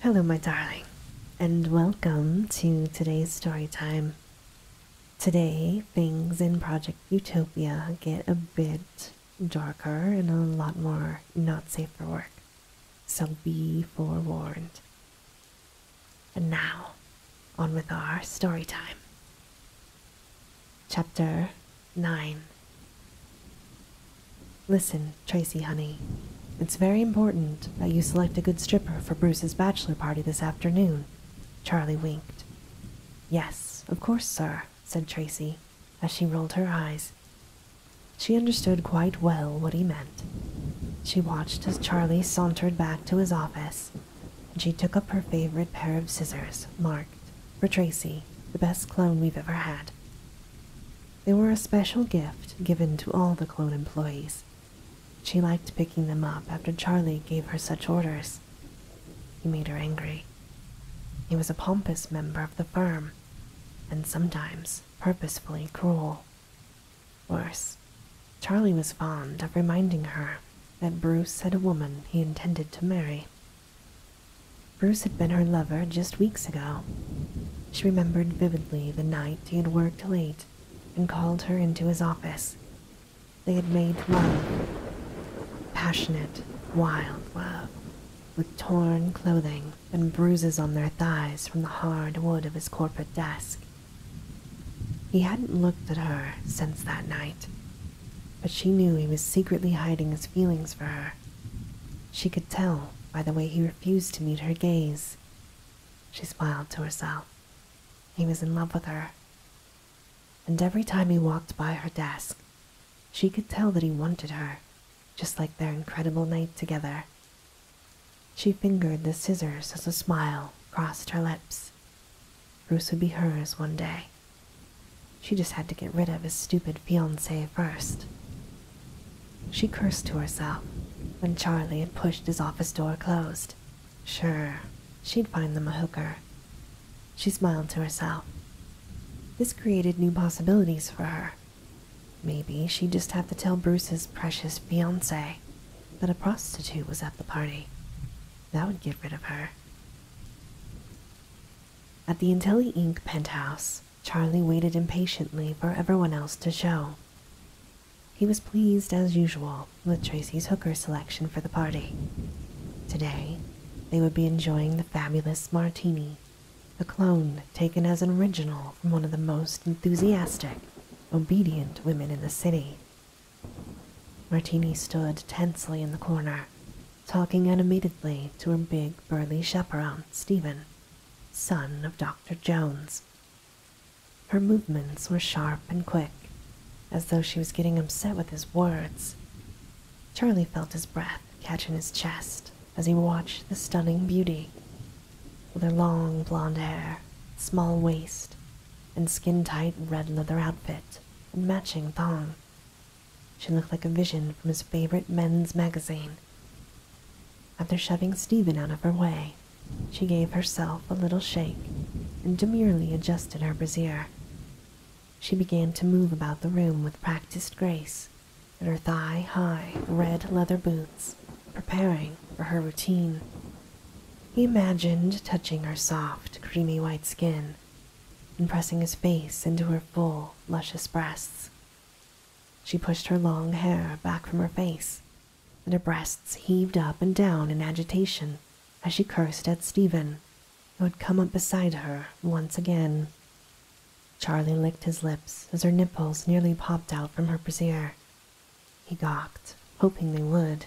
Hello, my darling, and welcome to today's story time. Today, things in Project Utopia get a bit darker and a lot more not safe for work, so be forewarned. And now, on with our story time. Chapter 9 Listen, Tracy, honey. It's very important that you select a good stripper for Bruce's bachelor party this afternoon. Charlie winked. Yes, of course, sir, said Tracy, as she rolled her eyes. She understood quite well what he meant. She watched as Charlie sauntered back to his office, and she took up her favorite pair of scissors, marked, for Tracy, the best clone we've ever had. They were a special gift given to all the clone employees. She liked picking them up after Charlie gave her such orders. He made her angry. He was a pompous member of the firm, and sometimes purposefully cruel. Worse, Charlie was fond of reminding her that Bruce had a woman he intended to marry Bruce had been her lover just weeks ago. She remembered vividly the night he had worked late and called her into his office. They had made love. Passionate, wild love, with torn clothing and bruises on their thighs from the hard wood of his corporate desk. He hadn't looked at her since that night, but she knew he was secretly hiding his feelings for her. She could tell by the way he refused to meet her gaze. She smiled to herself. He was in love with her. And every time he walked by her desk, she could tell that he wanted her, just like their incredible night together. She fingered the scissors as a smile crossed her lips. Bruce would be hers one day, she just had to get rid of his stupid fiancé first. She cursed to herself when Charlie had pushed his office door closed. Sure, she'd find them a hooker. She smiled to herself. This created new possibilities for her. Maybe she'd just have to tell Bruce's precious fiancé that a prostitute was at the party. That would get rid of her. At the Intelli Inc. penthouse, Charlie waited impatiently for everyone else to show. He was pleased, as usual, with Tracy's hooker selection for the party. Today, they would be enjoying the fabulous Martini, a clone taken as an original from one of the most enthusiastic, obedient women in the city. Martini stood tensely in the corner, talking animatedly to her big, burly chaperon, Stephen, son of Dr. Jones. Her movements were sharp and quick, as though she was getting upset with his words. Charlie felt his breath catch in his chest as he watched the stunning beauty. With her long blonde hair, small waist, and skin tight red leather outfit and matching thong, she looked like a vision from his favorite men's magazine. After shoving Stephen out of her way, she gave herself a little shake and demurely adjusted her brassiere. She began to move about the room with practiced grace in her thigh high red leather boots, preparing for her routine. He imagined touching her soft, creamy white skin and pressing his face into her full, luscious breasts. She pushed her long hair back from her face, and her breasts heaved up and down in agitation as she cursed at Stephen, who had come up beside her once again. Charlie licked his lips as her nipples nearly popped out from her brassiere. He gawked, hoping they would.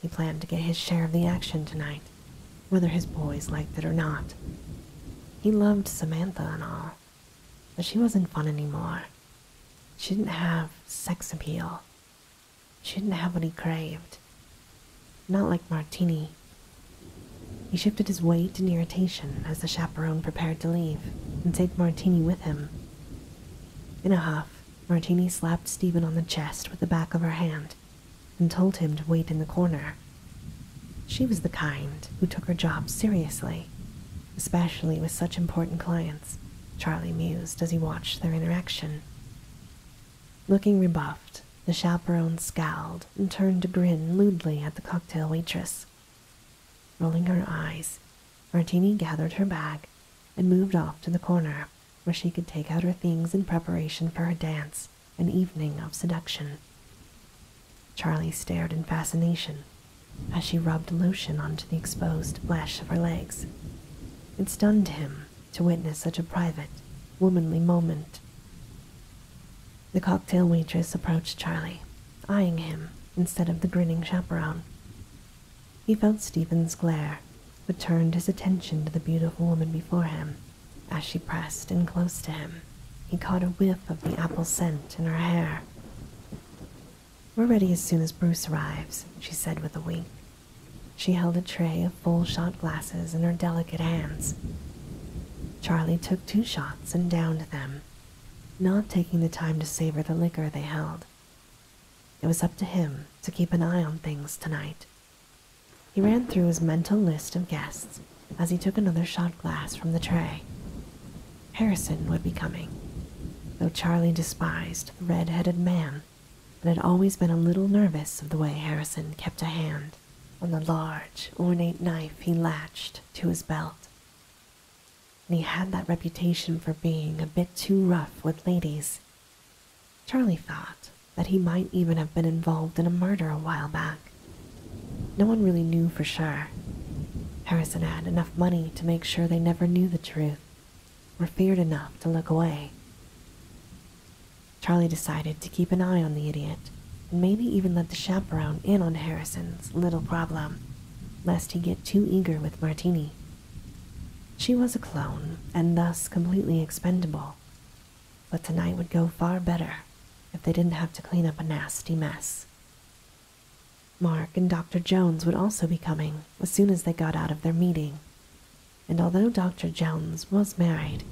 He planned to get his share of the action tonight, whether his boys liked it or not. He loved Samantha and all, but she wasn't fun anymore. She didn't have sex appeal. She didn't have what he craved. Not like Martini. He shifted his weight in irritation as the chaperone prepared to leave and take Martini with him. In a huff, Martini slapped Stephen on the chest with the back of her hand and told him to wait in the corner. She was the kind who took her job seriously, especially with such important clients, Charlie mused as he watched their interaction. Looking rebuffed, the chaperone scowled and turned to grin lewdly at the cocktail waitress. Rolling her eyes, Martini gathered her bag and moved off to the corner where she could take out her things in preparation for her dance an evening of seduction. Charlie stared in fascination as she rubbed lotion onto the exposed flesh of her legs. It stunned him to witness such a private, womanly moment. The cocktail waitress approached Charlie, eyeing him instead of the grinning chaperone. He felt Stephen's glare but turned his attention to the beautiful woman before him. As she pressed in close to him, he caught a whiff of the apple scent in her hair. We're ready as soon as Bruce arrives, she said with a wink. She held a tray of full shot glasses in her delicate hands. Charlie took two shots and downed them, not taking the time to savor the liquor they held. It was up to him to keep an eye on things tonight. He ran through his mental list of guests as he took another shot glass from the tray. Harrison would be coming, though Charlie despised the red headed man and had always been a little nervous of the way Harrison kept a hand on the large, ornate knife he latched to his belt. And he had that reputation for being a bit too rough with ladies, Charlie thought that he might even have been involved in a murder a while back. No one really knew for sure. Harrison had enough money to make sure they never knew the truth, or feared enough to look away. Charlie decided to keep an eye on the idiot, and maybe even let the chaperone in on Harrison's little problem, lest he get too eager with Martini. She was a clone and thus completely expendable, but tonight would go far better if they didn't have to clean up a nasty mess. Mark and Dr. Jones would also be coming as soon as they got out of their meeting, and although Dr. Jones was married,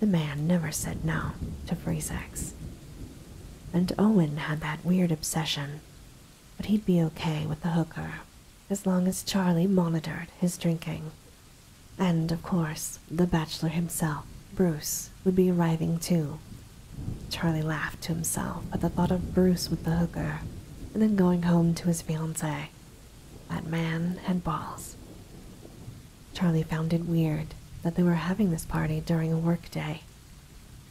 the man never said no to free sex. And Owen had that weird obsession, but he'd be okay with the hooker as long as Charlie monitored his drinking. And, of course, the bachelor himself, Bruce, would be arriving too. Charlie laughed to himself at the thought of Bruce with the hooker, and then going home to his fiancée. That man had balls. Charlie found it weird that they were having this party during a workday.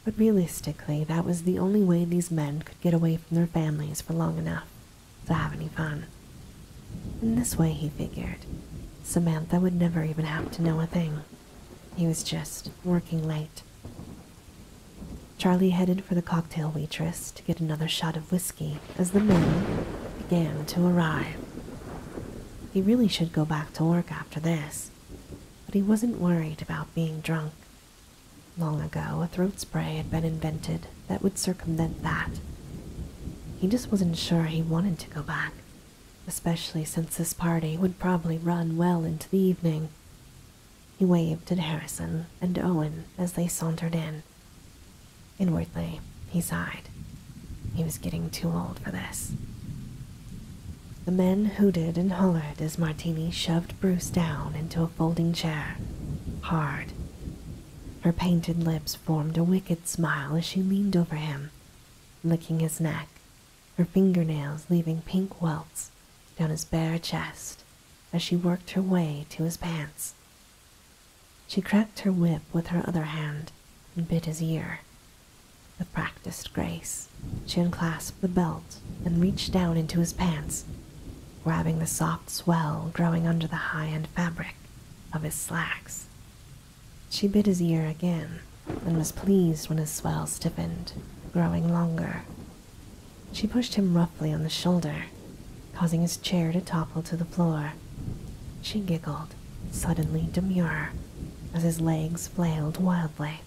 But realistically, that was the only way these men could get away from their families for long enough to have any fun. In this way, he figured, Samantha would never even have to know a thing. He was just working late. Charlie headed for the cocktail waitress to get another shot of whiskey as the men began to arrive. He really should go back to work after this, but he wasn't worried about being drunk. Long ago, a throat spray had been invented that would circumvent that. He just wasn't sure he wanted to go back, especially since this party would probably run well into the evening. He waved at Harrison and Owen as they sauntered in. Inwardly, he sighed. He was getting too old for this. The men hooted and hollered as Martini shoved Bruce down into a folding chair, hard. Her painted lips formed a wicked smile as she leaned over him, licking his neck, her fingernails leaving pink welts down his bare chest as she worked her way to his pants. She cracked her whip with her other hand and bit his ear. With practiced grace, she unclasped the belt and reached down into his pants, grabbing the soft swell growing under the high end fabric of his slacks. She bit his ear again and was pleased when his swell stiffened, growing longer. She pushed him roughly on the shoulder, causing his chair to topple to the floor. She giggled, suddenly demure, as his legs flailed wildly.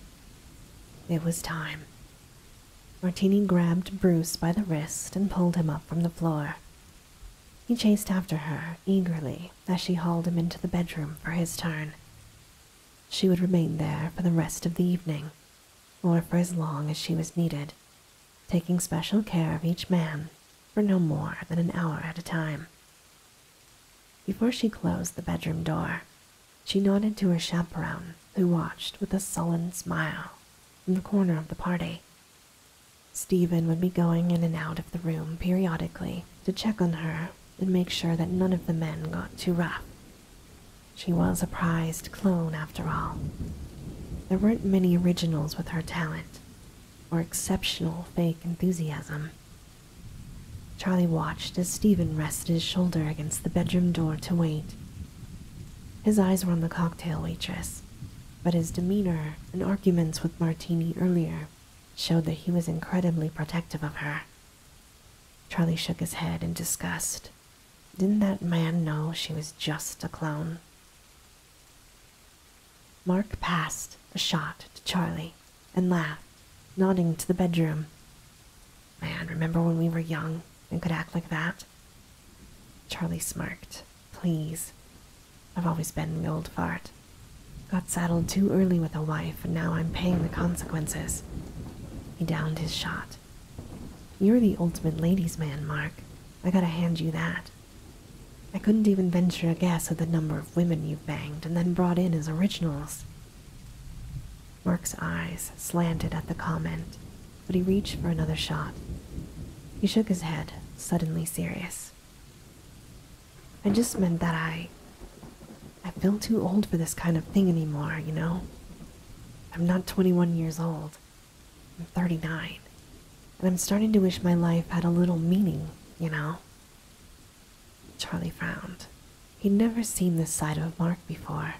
It was time. Martini grabbed Bruce by the wrist and pulled him up from the floor. He chased after her eagerly as she hauled him into the bedroom for his turn. She would remain there for the rest of the evening, or for as long as she was needed, taking special care of each man for no more than an hour at a time. Before she closed the bedroom door, she nodded to her chaperone, who watched with a sullen smile from the corner of the party. Stephen would be going in and out of the room periodically to check on her and make sure that none of the men got too rough. She was a prized clone, after all. There weren't many originals with her talent or exceptional fake enthusiasm. Charlie watched as Stephen rested his shoulder against the bedroom door to wait his eyes were on the cocktail waitress, but his demeanor and arguments with Martini earlier showed that he was incredibly protective of her. Charlie shook his head in disgust. Didn't that man know she was just a clown? Mark passed a shot to Charlie and laughed, nodding to the bedroom. Man, remember when we were young and could act like that? Charlie smirked. Please. I've always been the old fart. Got saddled too early with a wife, and now I'm paying the consequences. He downed his shot. You're the ultimate ladies' man, Mark. I gotta hand you that. I couldn't even venture a guess at the number of women you've banged and then brought in as originals. Mark's eyes slanted at the comment, but he reached for another shot. He shook his head, suddenly serious. I just meant that I. I feel too old for this kind of thing anymore, you know? I'm not 21 years old. I'm 39. And I'm starting to wish my life had a little meaning, you know? Charlie frowned. He'd never seen this side of Mark before.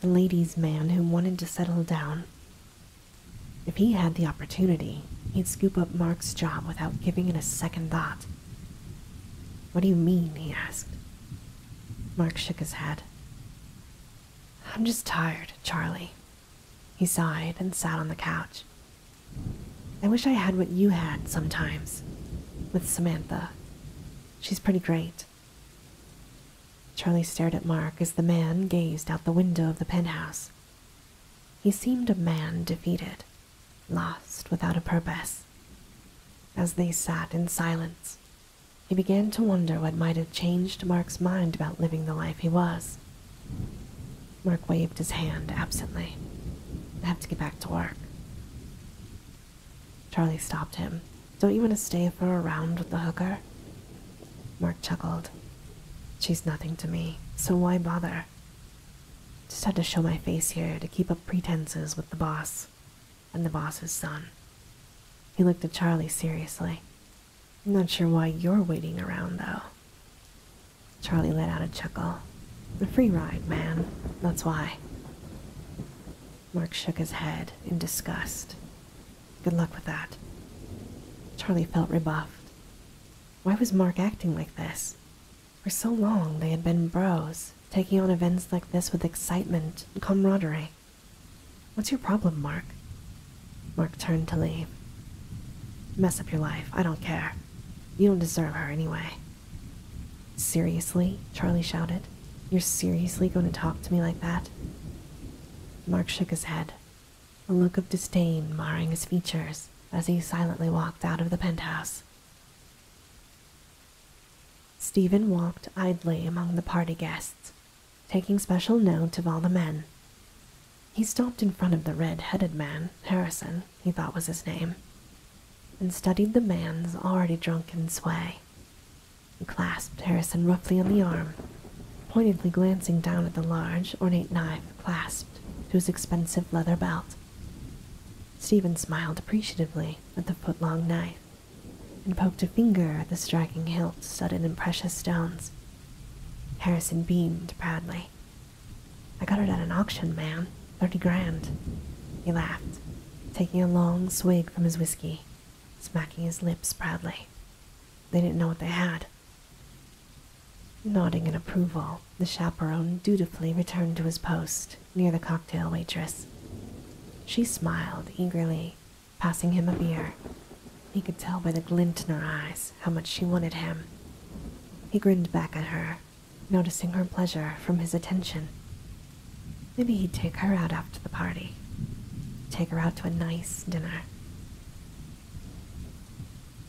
The ladies' man who wanted to settle down. If he had the opportunity, he'd scoop up Mark's job without giving it a second thought. What do you mean? he asked. Mark shook his head. I'm just tired, Charlie. He sighed and sat on the couch. I wish I had what you had sometimes, with Samantha. She's pretty great. Charlie stared at Mark as the man gazed out the window of the penthouse. He seemed a man defeated, lost without a purpose. As they sat in silence, he began to wonder what might have changed Mark's mind about living the life he was. Mark waved his hand absently. I have to get back to work. Charlie stopped him. Don't you want to stay for a round with the hooker? Mark chuckled. She's nothing to me, so why bother? Just had to show my face here to keep up pretenses with the boss and the boss's son. He looked at Charlie seriously. I'm not sure why you're waiting around, though. Charlie let out a chuckle. A free ride, man. That's why. Mark shook his head in disgust. Good luck with that. Charlie felt rebuffed. Why was Mark acting like this? For so long they had been bros, taking on events like this with excitement and camaraderie. What's your problem, Mark? Mark turned to leave. Mess up your life, I don't care. You don't deserve her anyway. Seriously? Charlie shouted. You're seriously going to talk to me like that? Mark shook his head, a look of disdain marring his features as he silently walked out of the penthouse. Stephen walked idly among the party guests, taking special note of all the men. He stopped in front of the red headed man, Harrison, he thought was his name, and studied the man's already drunken sway. He clasped Harrison roughly on the arm, pointedly glancing down at the large, ornate knife clasped to his expensive leather belt. Stephen smiled appreciatively at the foot knife and poked a finger at the striking hilt studded in precious stones. Harrison beamed proudly I got it at an auction, man. Thirty grand. He laughed, taking a long swig from his whiskey, smacking his lips proudly. They didn't know what they had. Nodding in approval, the chaperone dutifully returned to his post near the cocktail waitress. She smiled eagerly, passing him a beer. He could tell by the glint in her eyes how much she wanted him. He grinned back at her noticing her pleasure from his attention. Maybe he'd take her out after the party, take her out to a nice dinner.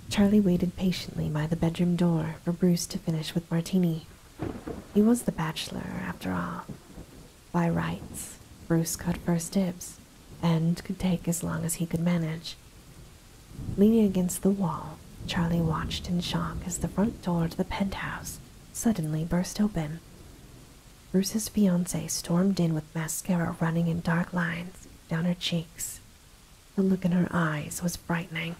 Charlie waited patiently by the bedroom door for Bruce to finish with Martini. He was the bachelor, after all. By rights, Bruce got first dibs and could take as long as he could manage. Leaning against the wall, Charlie watched in shock as the front door to the penthouse suddenly burst open. Bruce's fiancee stormed in with mascara running in dark lines down her cheeks. The look in her eyes was frightening.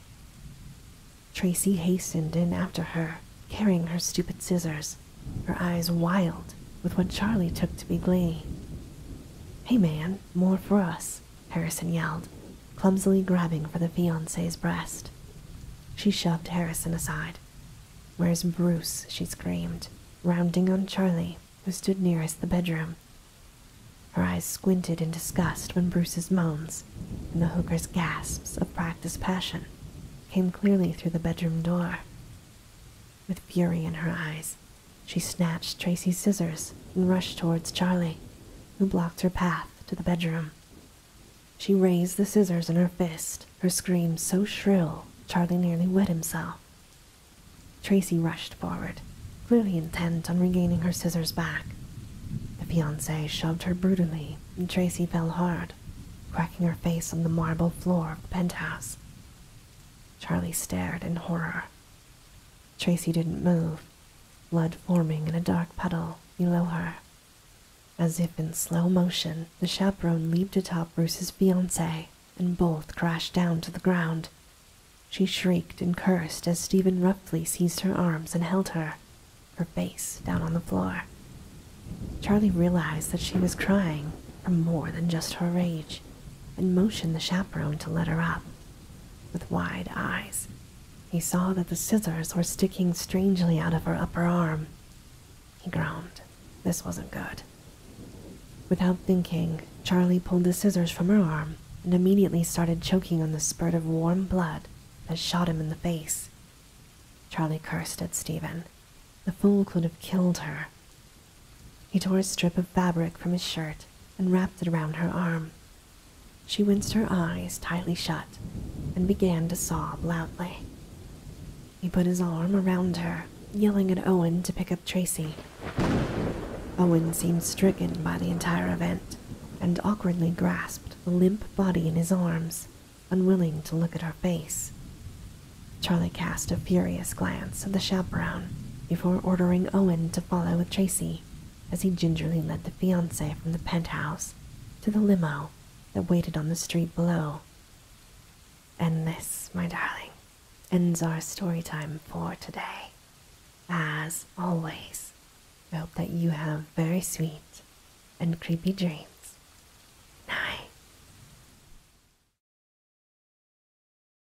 Tracy hastened in after her, carrying her stupid scissors, her eyes wild with what Charlie took to be glee. Hey man, more for us, Harrison yelled, clumsily grabbing for the fiance's breast. She shoved Harrison aside. Where's Bruce? she screamed, rounding on Charlie, who stood nearest the bedroom. Her eyes squinted in disgust when Bruce's moans and the hooker's gasps of practiced passion came clearly through the bedroom door. With fury in her eyes, she snatched Tracy's scissors and rushed towards Charlie, who blocked her path to the bedroom. She raised the scissors in her fist, her scream so shrill Charlie nearly wet himself. Tracy rushed forward, really intent on regaining her scissors back. The fiancée shoved her brutally, and Tracy fell hard, cracking her face on the marble floor of the penthouse. Charlie stared in horror. Tracy didn't move, blood forming in a dark puddle below her. As if in slow motion, the chaperone leaped atop Bruce's fiancee, and both crashed down to the ground. She shrieked and cursed as Stephen roughly seized her arms and held her, her face down on the floor. Charlie realized that she was crying for more than just her rage and motioned the chaperone to let her up. With wide eyes, he saw that the scissors were sticking strangely out of her upper arm. He groaned. This wasn't good. Without thinking, Charlie pulled the scissors from her arm and immediately started choking on the spurt of warm blood that shot him in the face. Charlie cursed at Stephen. The fool could have killed her. He tore a strip of fabric from his shirt and wrapped it around her arm. She winced her eyes tightly shut and began to sob loudly. He put his arm around her, yelling at Owen to pick up Tracy. Owen seemed stricken by the entire event and awkwardly grasped the limp body in his arms, unwilling to look at her face. Charlie cast a furious glance at the chaperone before ordering Owen to follow with Tracy as he gingerly led the fiancée from the penthouse to the limo that waited on the street below. And this, my darling, ends our story time for today. As always, I hope that you have very sweet and creepy dreams. Night.